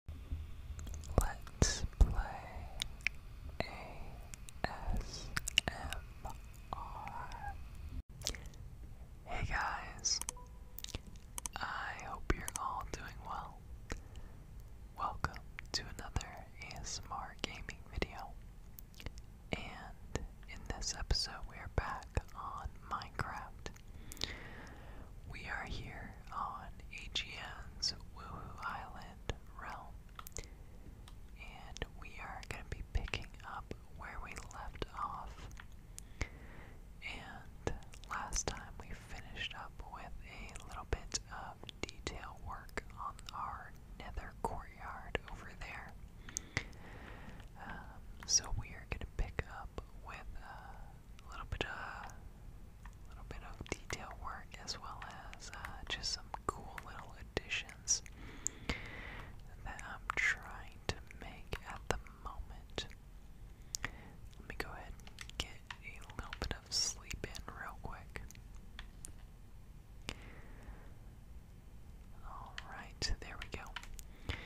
Hey guys, I hope you're all doing well. Welcome to another ASMR gaming video. And in this episode, we are back on Minecraft. We are here on AGN's Woohoo Island realm, and we are going to be picking up where we left off. And last time we finished up with a little bit of detail work on our nether courtyard over there. Um, so we are going to pick up with a little bit of a little bit of detail work as well as uh, just some cool little additions that I'm trying to make at the moment. Let me go ahead get a little bit of sleep in real quick. Alright, there we go.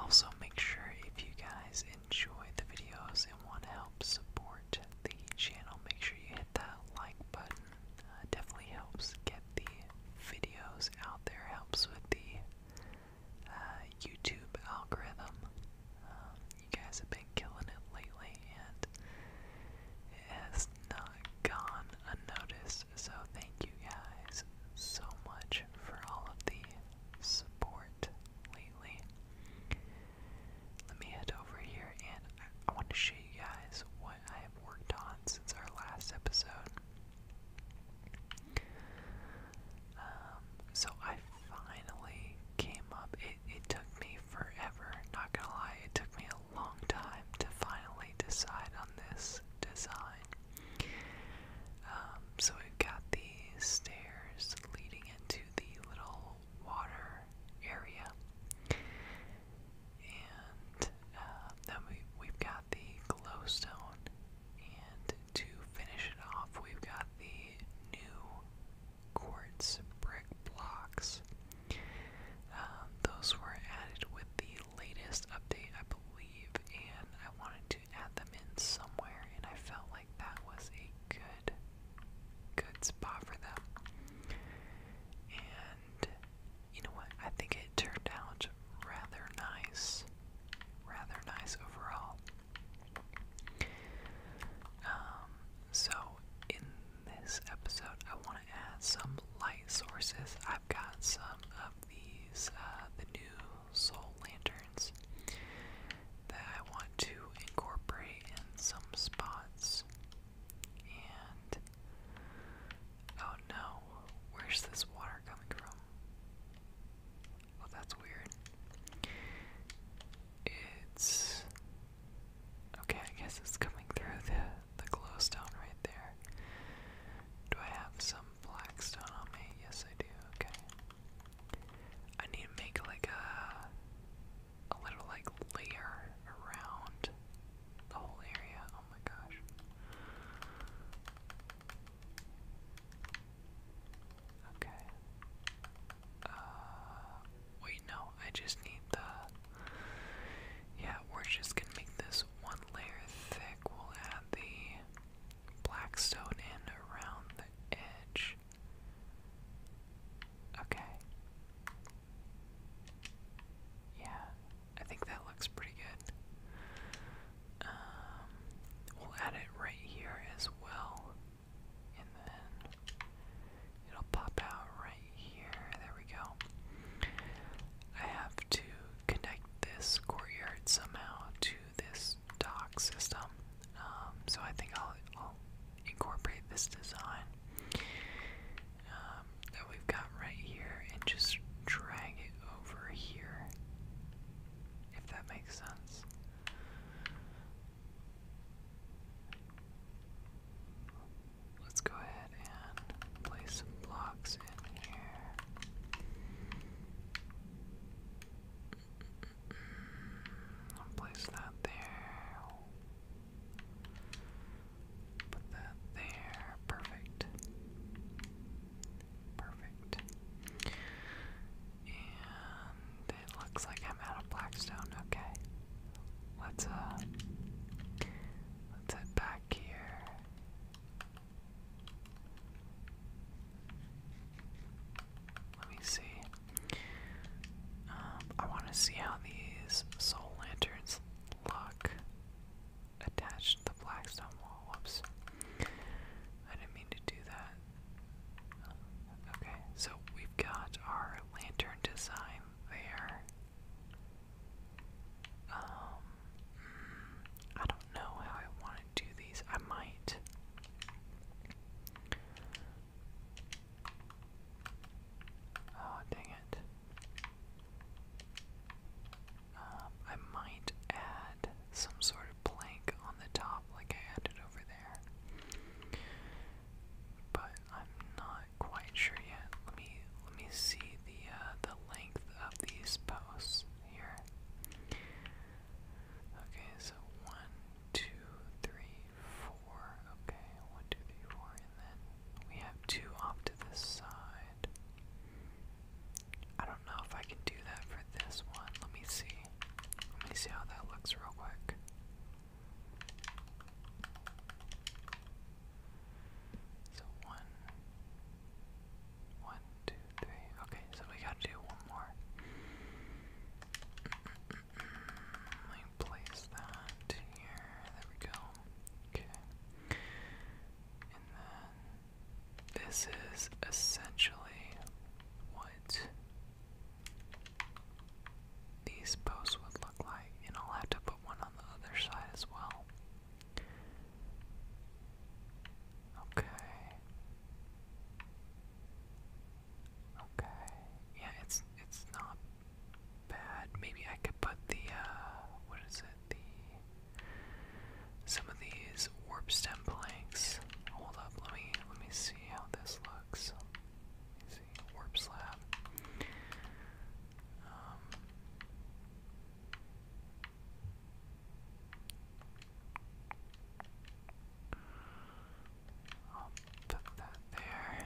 Also, make sure if you guys enjoy the videos and want to help support the channel, make sure you hit that like button. it uh, definitely helps get the videos out there, helps with the uh, YouTube algorithm. Um, you guys have been killing it lately, and it has not gone unnoticed. So, thank you guys so much for all of the support let me head over here and I, want to show you guys what I have worked on since our last episode. Um, so I finally came up. it took me forever, not gonna lie, it took me a long time to finally decide on this design. Um, so we've got the stairs leading into the little water area. And uh, then we, have got the glowstone. And to finish it off, we've got the new quartz brick blocks. Um, those were added with the latest update, I believe, and I wanted to add them in somewhere, and I felt like that was a good, good spot for them. And you know what? I think it turned out rather nice, rather nice overall. Um, so in this episode, I want to add some light sources. I've got some of these, uh, the new soul lanterns that I want to incorporate in some spots. And oh no, where's this water coming from? Well, oh, that's weird. It's okay, I guess it's coming through the, the glowstone right there. Do I have some black stone on me? Yes, I do. Okay. I need to make like a a little like layer around the whole area. Oh my gosh. Okay. Uh wait no, I just need the Yeah, we're just gonna make this one layer thick. We'll add the black stone in around edge. Okay. Yeah, I think that looks pretty good. Um, we'll add it right here as well. And then it'll pop out right here. There we go. I have to connect this courtyard somehow to this dock system. Um, so I think I'll, incorporate this design um, that we've got right here and just drag it over here, if that makes sense. Let's go ahead and place some blocks in here. I'll place that there. Put that there. Perfect. Perfect. And it looks like I'm out of blackstone. Okay. Let's uh let's head back here. Let me see. Um, I want to see how these soul lanterns look attached to the blackstone wall. Whoops. I didn't mean to do that. Okay, so we've got our lantern design there. Um, hmm, I don't know how I want do these. I might. Oh, dang it. Um, I might add some sort of plank on the top, like I added over there. But I'm not quite sure yet. Let me let me see the uh, the length of these posts here. Okay, so one, two, three, four. Okay, one, two, three, four, and then we have two off to this side. I don't know if I can do that for this one. Let me see. Let me see how that looks real quick. So one, one, two, three. Okay, so we gotta do one more. Let me place that here. There we go. Okay. And then this is essentially what these posts would look like. And I'll have to put one on the other side as well. Okay. Okay. Yeah, it's it's not bad. Maybe I could put the uh, what is it? The some of these warp stem planks. Hold up, let me let me see how this looks. Warp slab. Um, I'll put that there.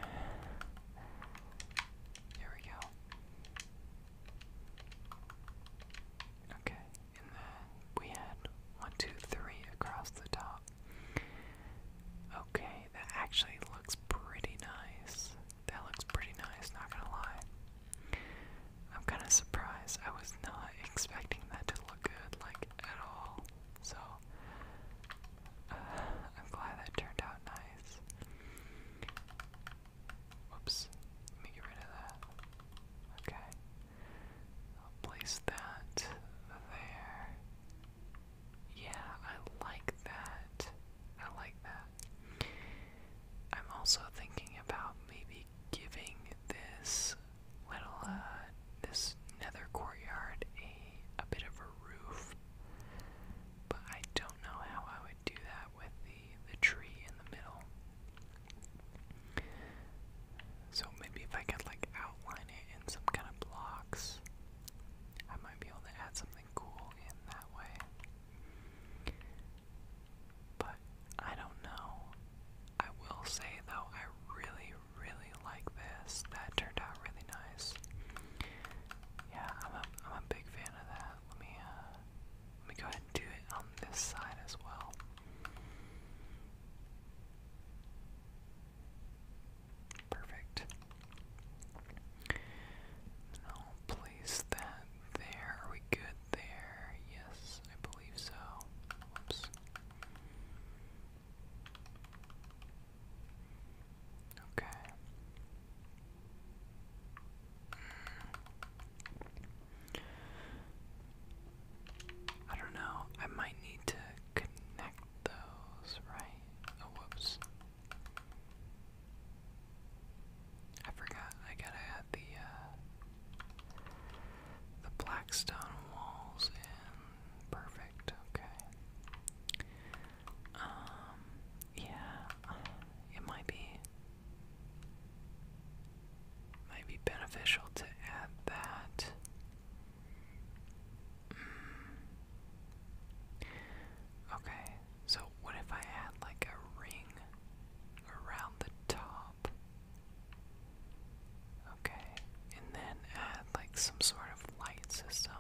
There we go. Okay, and then we had one, two, three across the top. Okay, that actually looks pretty nice. That looks pretty nice, not gonna lie. I'm kind of surprised. I was not expecting that to look good, like, at all. So, uh, I'm glad that turned out nice. Whoops. Let me get rid of that. Okay. I'll place that there. Yeah, I like that. I like that. I'm also thinking about maybe giving this little, uh, this nether courtyard a, a bit of a roof. But I don't know how I would do that with the, the tree in the middle. So maybe if I could like outline it in some kind of blocks, I might be able to add something cool in that way. But I don't know. I will say though, I really, really like this. That turned out really nice. Yeah, I'm a I'm a big fan of that. Let me uh, let me go ahead and do it on this side as well. Perfect. I'll place place that there. Are we good there? Yes, I believe so. Whoops. Okay. I don't know. I might need to connect those, right? Oh, whoops. I forgot I gotta add the uh, the black stone walls in perfect, okay. Um yeah, it might be might be beneficial to add that. Mm. Okay, so what if I had like a ring around the top? Okay, and then add like some sort of light system.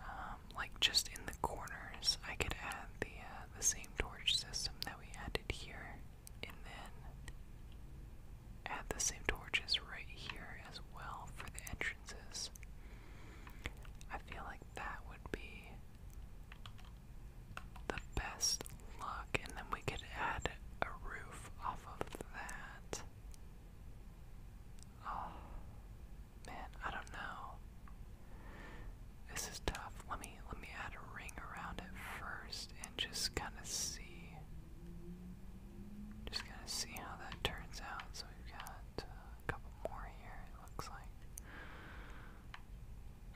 Um, like just in the corners, I could add the uh, the same torch system that we added here, and then add the same torches right here as well for the entrances. I feel like that would be the best look, and then we could add a roof off of that. Oh man, I don't know. This is tough. Let me let me add a ring around it first and just kind of see. Just kind of see how that turns out. So we've got uh, a couple more here. It looks like.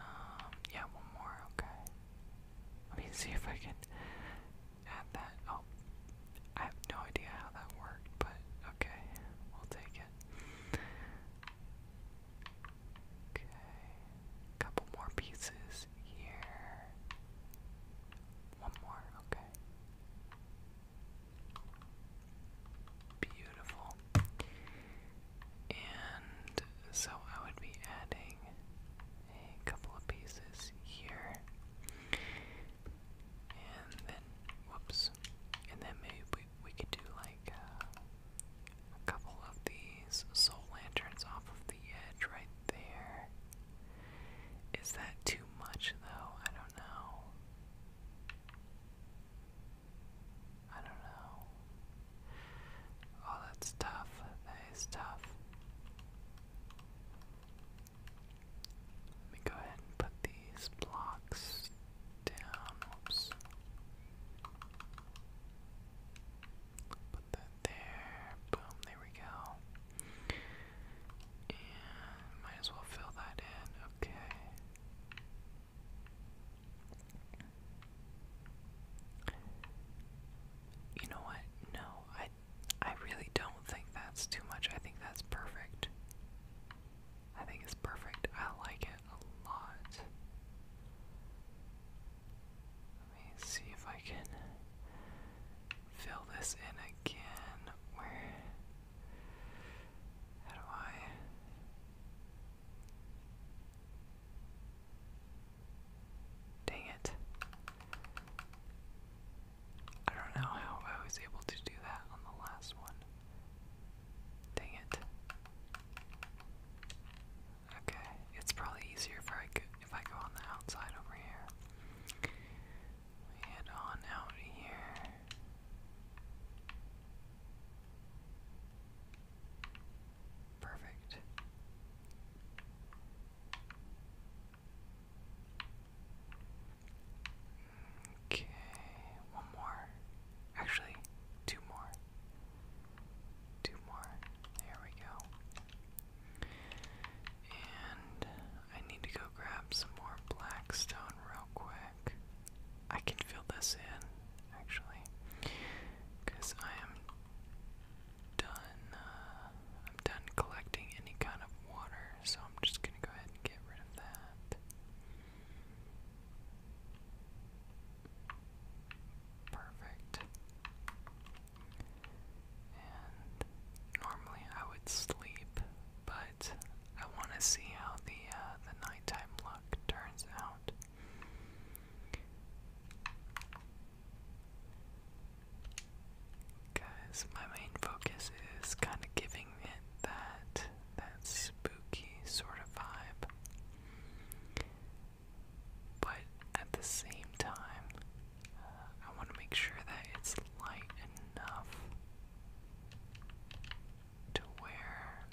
Um, yeah, one more, okay. Let me see if I can add that. Oh, I have no idea how that worked, but okay, we'll take it. Okay, couple more pieces here. One more, okay. Beautiful. And so I would be adding a couple of pieces here. And then, whoops. And then maybe we, could do like uh, a couple of these soul lanterns off of the edge right there. Is that too much though? I don't know. I don't know. Oh, that's tough. That is tough. Let me go ahead and put these blocks down. Whoops. Put that there. Boom, there we go. And might as well fill that in. Okay. You know what? No, I I really don't think that's too much. I think that's perfect. I think it's perfect. I like it a lot. Let me see if I can fill this in again. Where how do I Dang it. I don't know how I was able to do that on the last one. Dang it. Okay, it's probably easier if I if I go on the outside over here. We on out here. Perfect. Okay, one more. Actually, two more. Two more. There we go. And I need to go grab some more black stone real quick. I can fill this in, actually, because I am done. Uh, I'm done collecting any kind of water, so I'm just gonna go ahead and get rid of that. Perfect. And normally I would sleep, but I want to see how the uh, the nighttime look turns out. Cause my main focus is kind of giving it that that spooky sort of vibe, but at the same time, uh, I want to make sure that it's light enough to where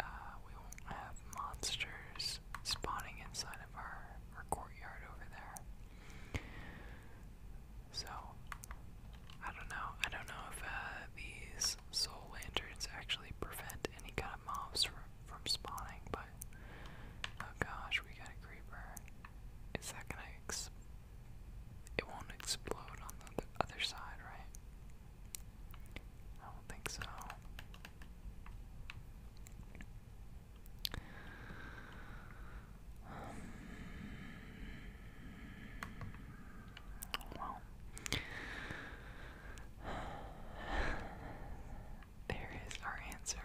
uh, we won't have monsters spawning inside of our, our courtyard over there. So, I don't know. I don't know if uh, these soul lanterns actually prevent any kind of mobs from, from spawning, but oh gosh, we got a creeper. Is that gonna explode? It won't explode on the other side, right? I don't think so. well, there is our answer.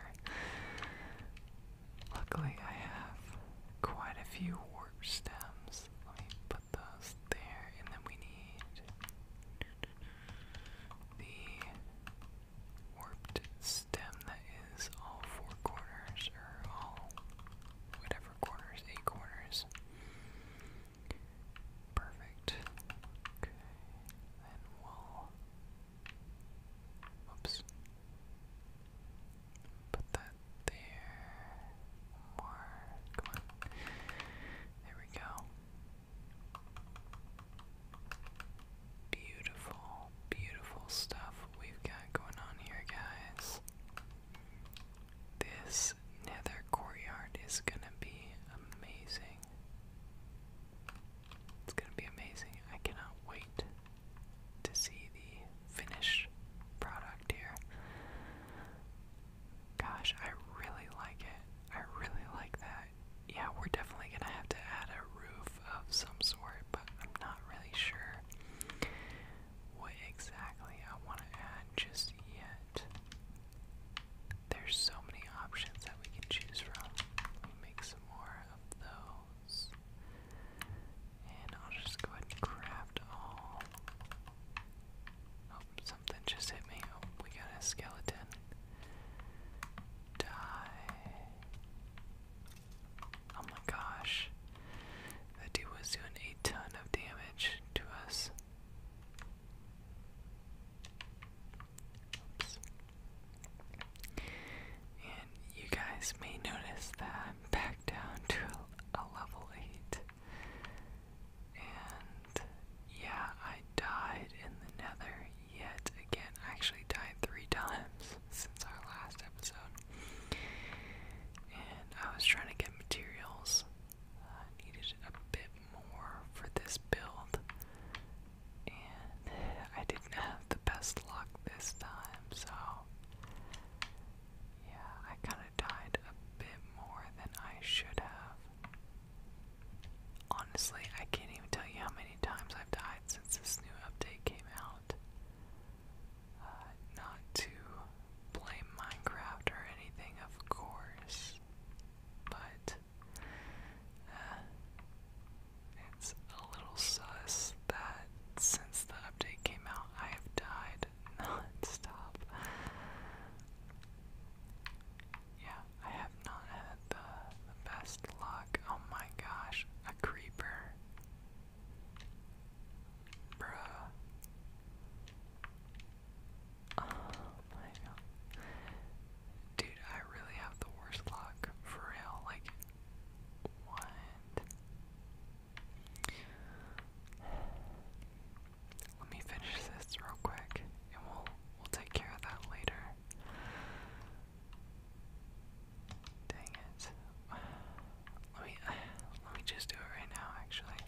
Luckily, I have quite a few warp stems. Let me put those there, and then we need the warped stem that is all four corners, or all whatever corners, eight corners. Perfect. Okay, then we'll. Oops. Put that there. More. Come on. There we go. Beautiful, beautiful stuff we've got going on here, guys. This nether courtyard is gonna be amazing. It's gonna be amazing. I cannot wait to see the finished product here. Gosh, I really like it. I really like that. Yeah, we're definitely gonna have to add a roof of some sort, but I'm not really sure what exactly I want to add just yet. There's so many options that we can choose from. Let me make some more of those. And I'll just go ahead and craft all. Oh, something just hit me. Oh, we got a skeleton. Die. Oh my gosh. That dude was doing a ton of damage to us. And you guys may notice that back down to a, level 8. And yeah, I died in the nether yet again. I actually died three times since our last episode. And I was trying to get materials. I needed a bit more for this build. And I didn't have the best luck this time, so yeah, I kinda died a bit more than I should have. Honestly, I can't even tell you how many times I've died since this new update came out. Uh, not to blame Minecraft or anything, of course, but uh, it's a little sus that since the update came out, I have died non-stop. Yeah, I have not had the, best luck. Oh my gosh, a creeper. Bruh. Oh Dude, I really have the worst luck. For real. Like, what? Let me finish this real quick and we'll we'll take care of that later. Dang it. Let me let me just do it right now actually.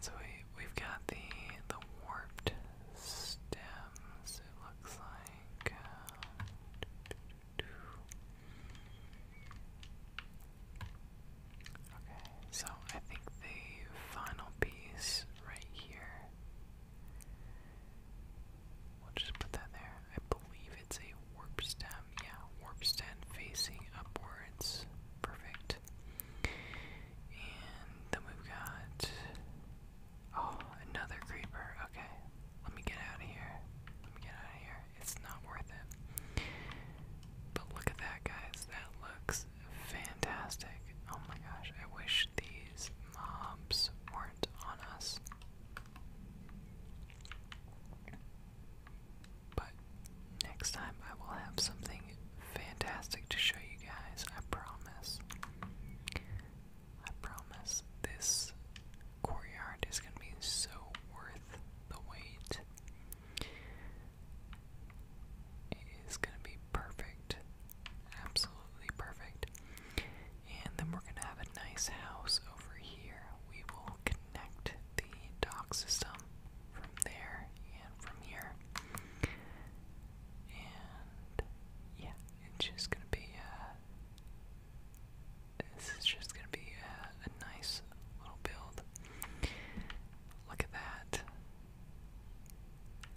So we we've got the the warped stems it looks like uh, Okay, so I think the final piece right here. We'll just put that there. I believe it's a warp stem. Yeah, warp stem facing upwards. Perfect. And then we've got. Oh, another creeper. Okay, let me get out of here. Let me get out of here. It's not worth it. But look at that, guys. That looks fantastic. Oh my gosh. I wish these mobs weren't on us. But next time I will have something fantastic to show you guys. I promise. I promise this courtyard is going to be so worth the wait. It is going to be perfect. Absolutely perfect. And then we're going to have a nice house over here. We will connect the dock system from there and from here. And yeah, it's just going to be a this is just gonna be a, nice little build. Look at that.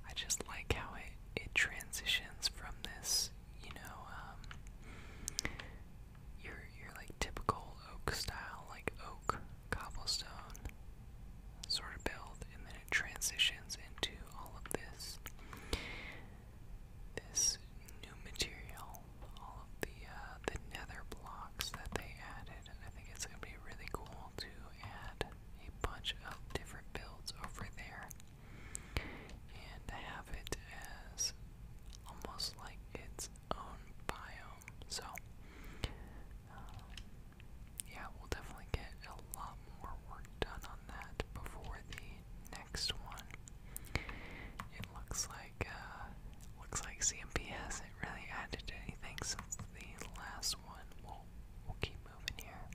I just like how it, it transitions from this, you know, um, your, your like typical oak style, like oak cobblestone sort of build, and then it transitions into all of this this new material, all of the uh, the nether blocks that they added, and I think it's gonna be really cool to add a bunch of different builds over there and have it as almost like its own biome. So uh, yeah, we'll definitely get a lot more work done on that before the next one. It looks like uh looks like CMP hasn't really added anything since the last one. We'll we'll keep moving here.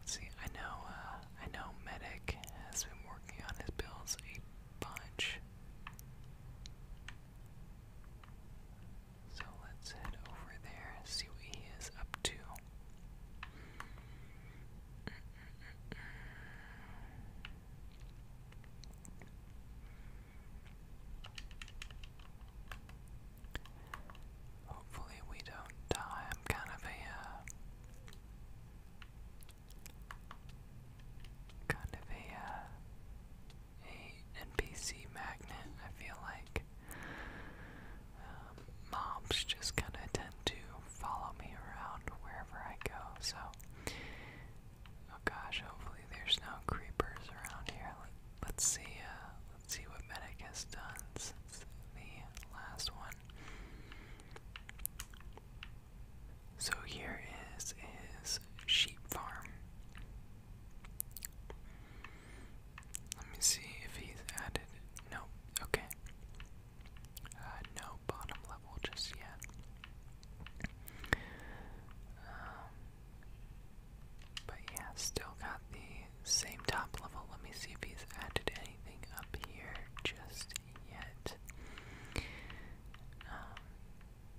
Let's see, I know uh I know Medic has been working on his builds a bunch. So let's head over there, see what he is up to. Hopefully, we don't die. I'm kind of a. Uh, kind of a, uh, a NPC magnet, I feel like. Um, mobs just kind of tend to follow me around wherever I go, so. Oh gosh, hopefully there's no creepers around here. Let, us see, uh, let's see what Medic has done since the last one. So here is his sheep farm. Let me see if he's added. No, okay. Uh, no bottom level just yet. Um, but yeah, still got the same top level. Let me see if he's added anything up here just yet. Um,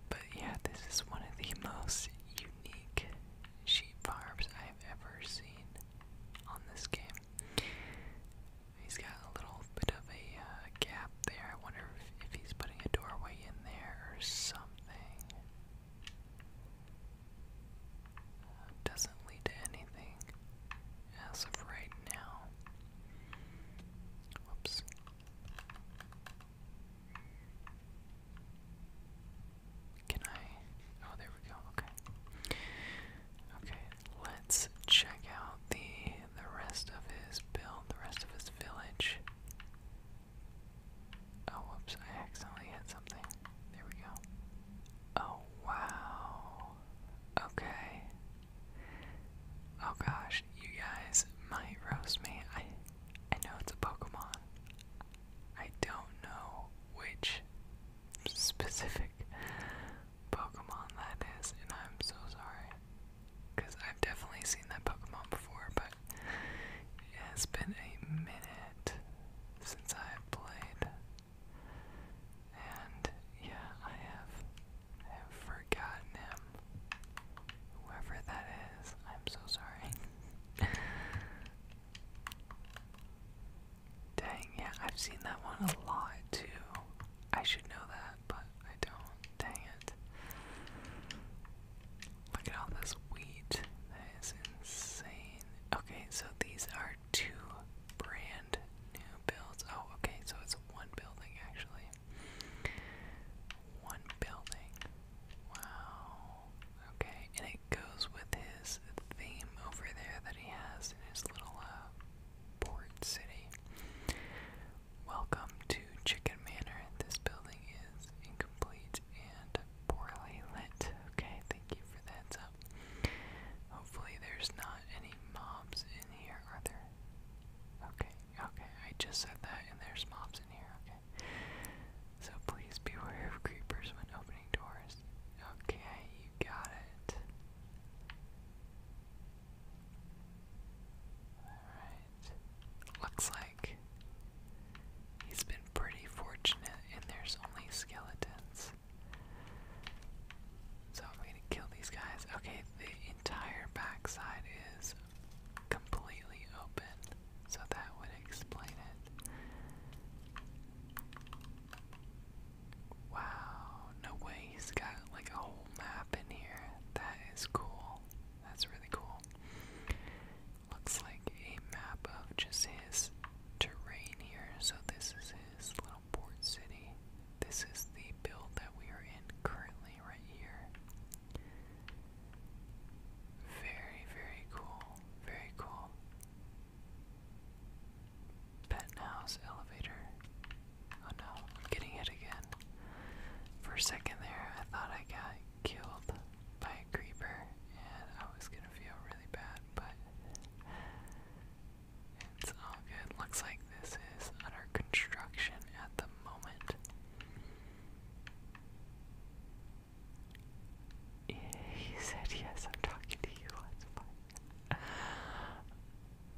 but yeah, this is one of the most unique sheep farms I I've ever seen on this game. He's got a little bit of a uh, gap there. I wonder if, if he's putting a doorway in there or something. Uh, doesn't lead to anything as of right now. Whoops. Can I? Oh, there we go. Okay. Okay, let's check out the the rest of his build, the rest of his village. Oh, whoops! I accidentally hit something. There we go. Oh wow. Okay. Oh gosh, you guys might roast me. I I know it's a Pokemon. I don't know which specific Pokemon that is, and I'm so sorry. Because I've definitely seen that Pokemon before, but it has been a minute since I've played. And yeah, I have, I have forgotten him. Whoever that is, I'm so sorry. Dang, yeah, I've seen that one a lot too. I should know that, but I don't. Dang it. Look at all this wheat. That is insane. Okay, so these are two brand new builds. Oh, okay, so it's one building actually. One building. Wow. Okay, and it goes with his theme over there that he has in his little uh, port city. Welcome to Chicken Manor. This building is incomplete and poorly lit. Okay, thank you for that. heads Hopefully, there's not any mobs in here, are there? Okay, okay, I just said that, and there's mobs in here, okay. So please be aware of creepers when opening doors. Okay, you got it. Alright. Looks like he's been pretty fortunate and there's only skeletons. So I'm gonna kill these guys. Okay, the entire backside is completely open, so that would explain it. Wow, no way, he's got like a whole map in here. That is cool. That's really cool. Looks like a map of just his terrain here. So, this is his little port city. This is the build that we are in currently, right here. Very, very cool. Very cool. Penthouse elevator. Oh no, getting hit again. For a second there, I thought I got killed by a creeper, and I was gonna feel really bad, but it's all good. Looks like this is under construction at the moment. He said yes, I'm talking to you, let's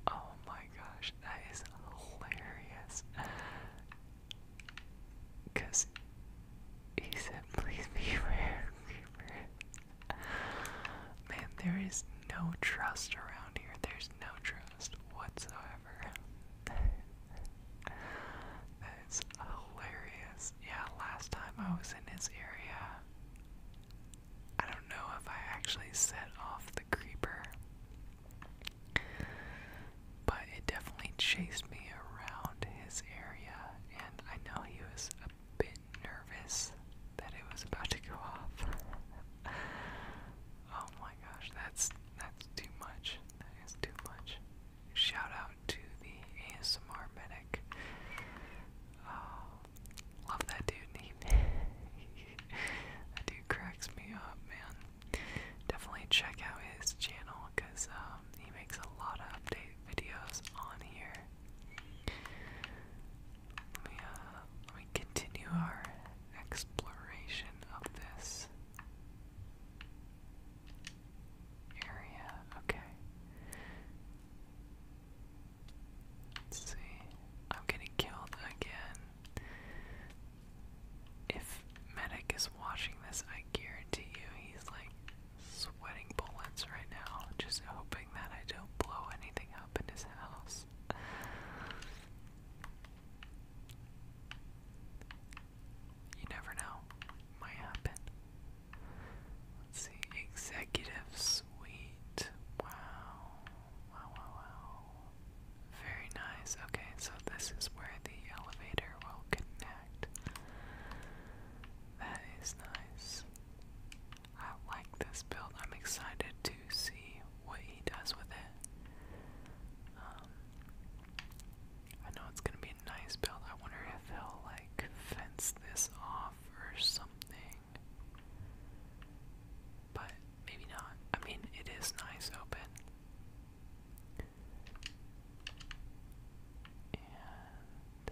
Oh my gosh, that is hilarious. Cause he said please be rare creeper. Man, there is no trust around here. There's no trust whatsoever. That's hilarious yeah, last time I was in his area, I don't know if I actually set off the creeper, but it definitely chased me around his area, and I know he was a bit nervous that it was about to go off. oh my gosh, that's that's too much. That is too much. Shout out to the ASMR medic. Oh, love that dude. He, dude cracks me up, man. Definitely check out his channel because um, he makes a lot of update videos on here. Let me, uh, let me continue our exploration of this area. Okay. Let's see. I'm getting killed again. If Medic is watching this, I guarantee you he's like sweating bullets right now, just hoping that I don't blow anything up in his house. You never know. Might happen. Let's see. Executive suite. Wow. Wow, wow, Very nice. Okay, so this is where the elevator will connect. That is nice. I like this build. I'm excited to see what he does with it. Um, I know it's going to be nice build. I wonder if he'll like fence this off or something. But maybe not. I mean, it is nice open. And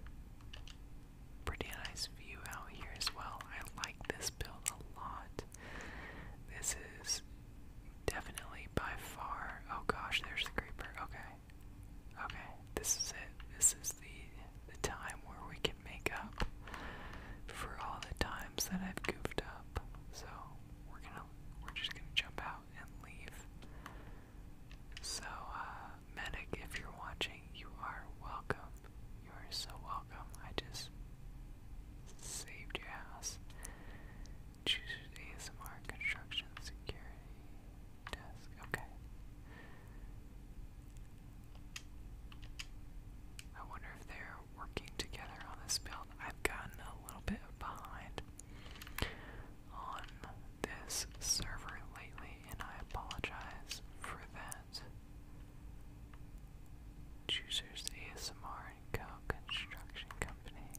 pretty nice view out here as well. I like this build a lot. This is definitely by far. Oh gosh, there's the creeper. Okay. Okay, this is it. This is the the time where we can make up for all the times that I've goofed up. So we're gonna we're just gonna jump out and leave. So uh medic, if you're watching, you are welcome. You are so welcome. I just saved your ass. Choose ASMR construction security desk. Okay. I wonder if they're working together on this build. I've gotten a little bit behind on this server lately, and I apologize for that. Choosers ASMR Co. Construction Company.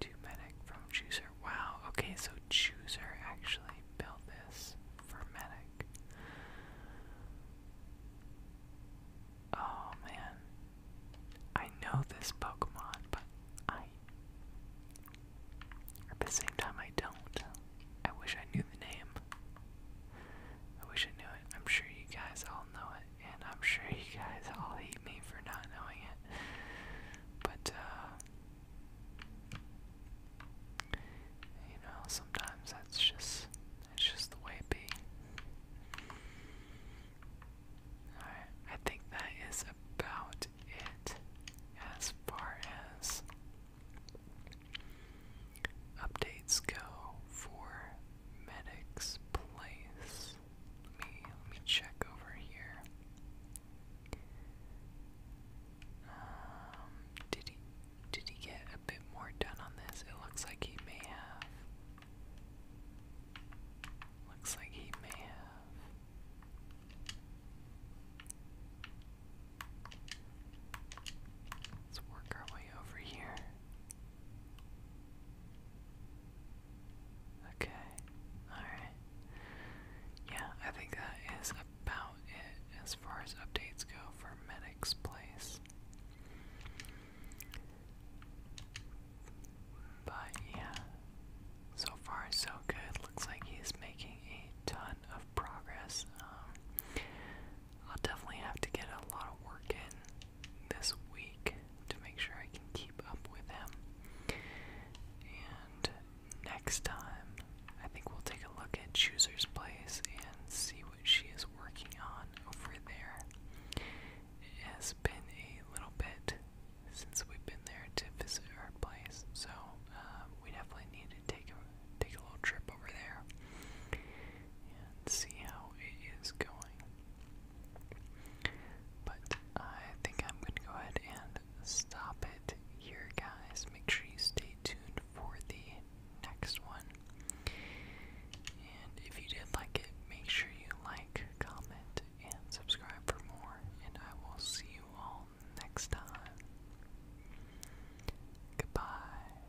Two Medic from Chooser. Wow, okay, so Chooser actually built this for Medic. Oh man. I know this Pokemon, but I. At the same time, I don't. I wish I knew the name. I wish I knew it. I'm sure you guys all know it and I'm sure you guys all hate me for not knowing it. But uh, you know, sometimes that's just it's just the way it be. Alright, I think that is about it as far as updates go for medic's place. Let me let me check over here. Um, did he did he get a bit more done on this? It looks like he may have. Looks like he may have. Let's work our way over here. Okay, alright. Yeah, I think that is about it as far as updates go for Medic's Place. But yeah, so far so good. Looks like he's making a ton of progress. Um, I'll definitely have to get a lot of work in this week to make sure I can keep up with him. And next time, I think we'll take a look at Chooser's Place and see what she is working on over there. It has been a little bit since we've been there to visit her place, so uh, we definitely need to take a take a little trip over there and see how it is going. But I think I'm going to go ahead and stop it here, guys. Make sure you stay tuned for the next one. And if you did like it, make sure you like, comment, and subscribe for more. And I will see you all next time. Goodbye.